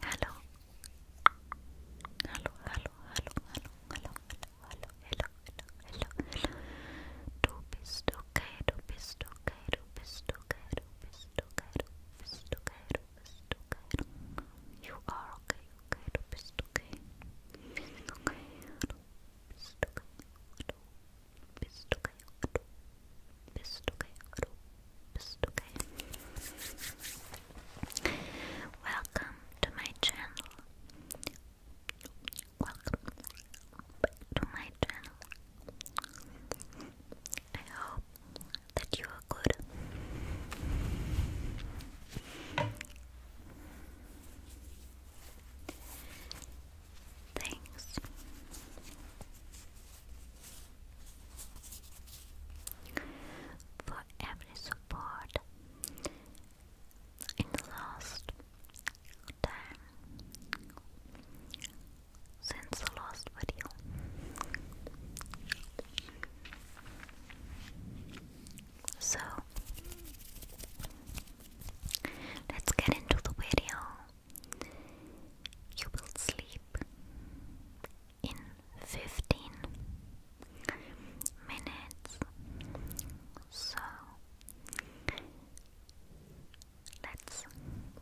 Hello. Hello, hello, hello, hello, hello, hello, hello, hello, hello. Du you are okay, okay, do bist okay. Bist okay, do okay, do okay, do okay, do okay. Welcome to my channel. Welcome to my channel. I hope that you are good. Thanks. For every support in the last 10, since the last video. So, let's get into the video. You will sleep in 15 minutes. So, let's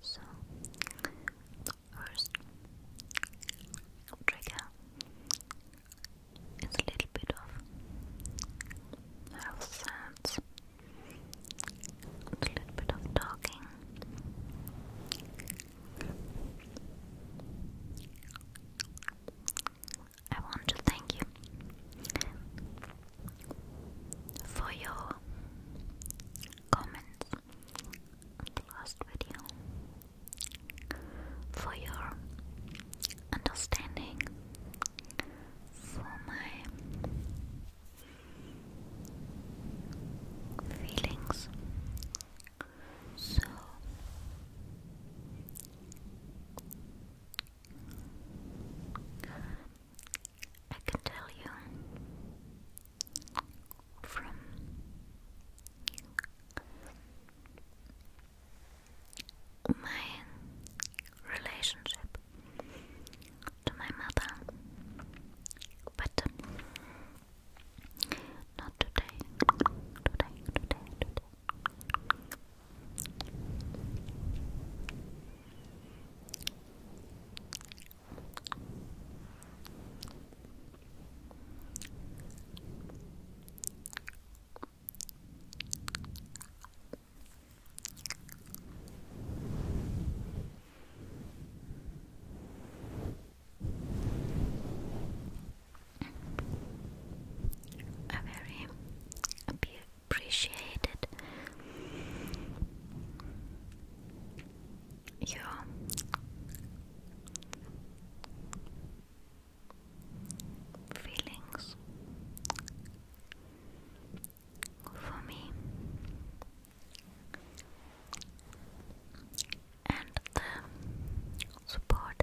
So, first trigger is a little bit of sounds, a little bit of talking. I want to thank you for your comments on the last video, for your understanding, for my feelings. So I can tell you from my relationship to my mother, but not today, today, today, today. A very a appreciate it. Your feelings for me and the support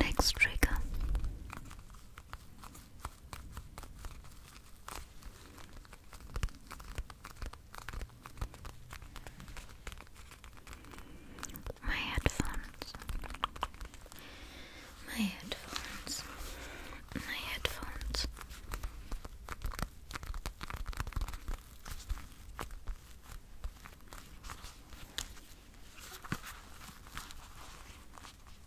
Next trigger my headphones. My headphones. My headphones.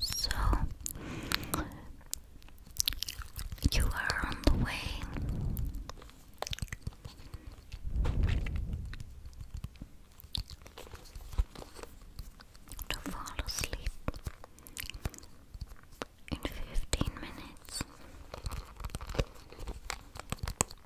So you are on the way. To fall asleep in fifteen minutes.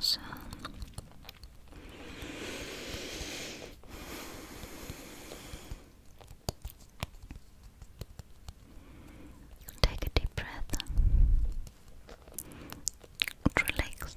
So take a deep breath, relax,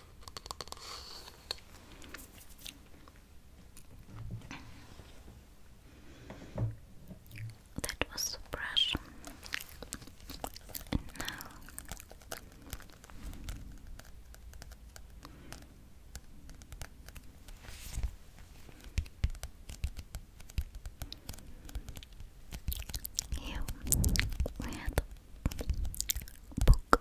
That was the brush. And now here Poke.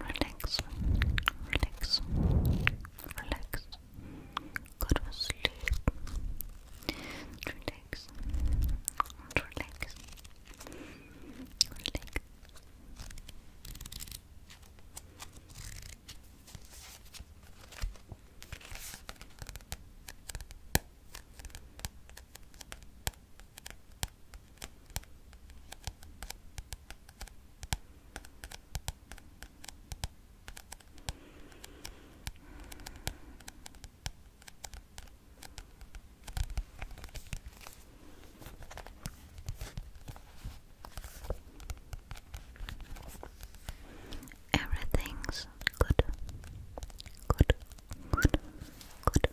relax, relax, relax. Go to sleep. Relax, relax, relax. Everything's good, good, good, good, good.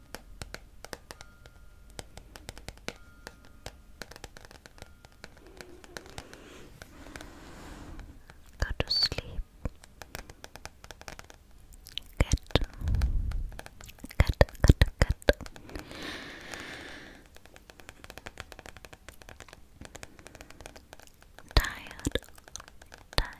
Go to sleep. Get, get, get, get. Tired, tired.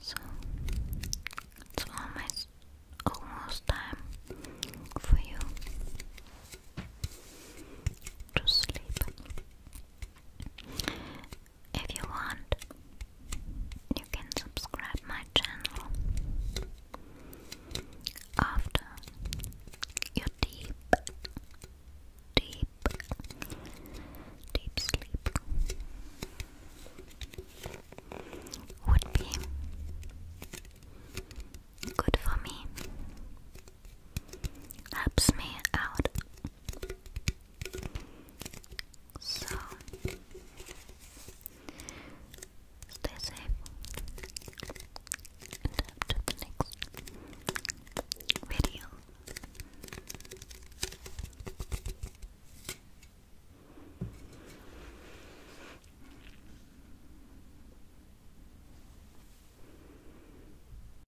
So it's almost time for you to sleep. If you want, you can subscribe my channel after your deep, deep, deep sleep would be good for me. Helps me out so stay safe and up the next video.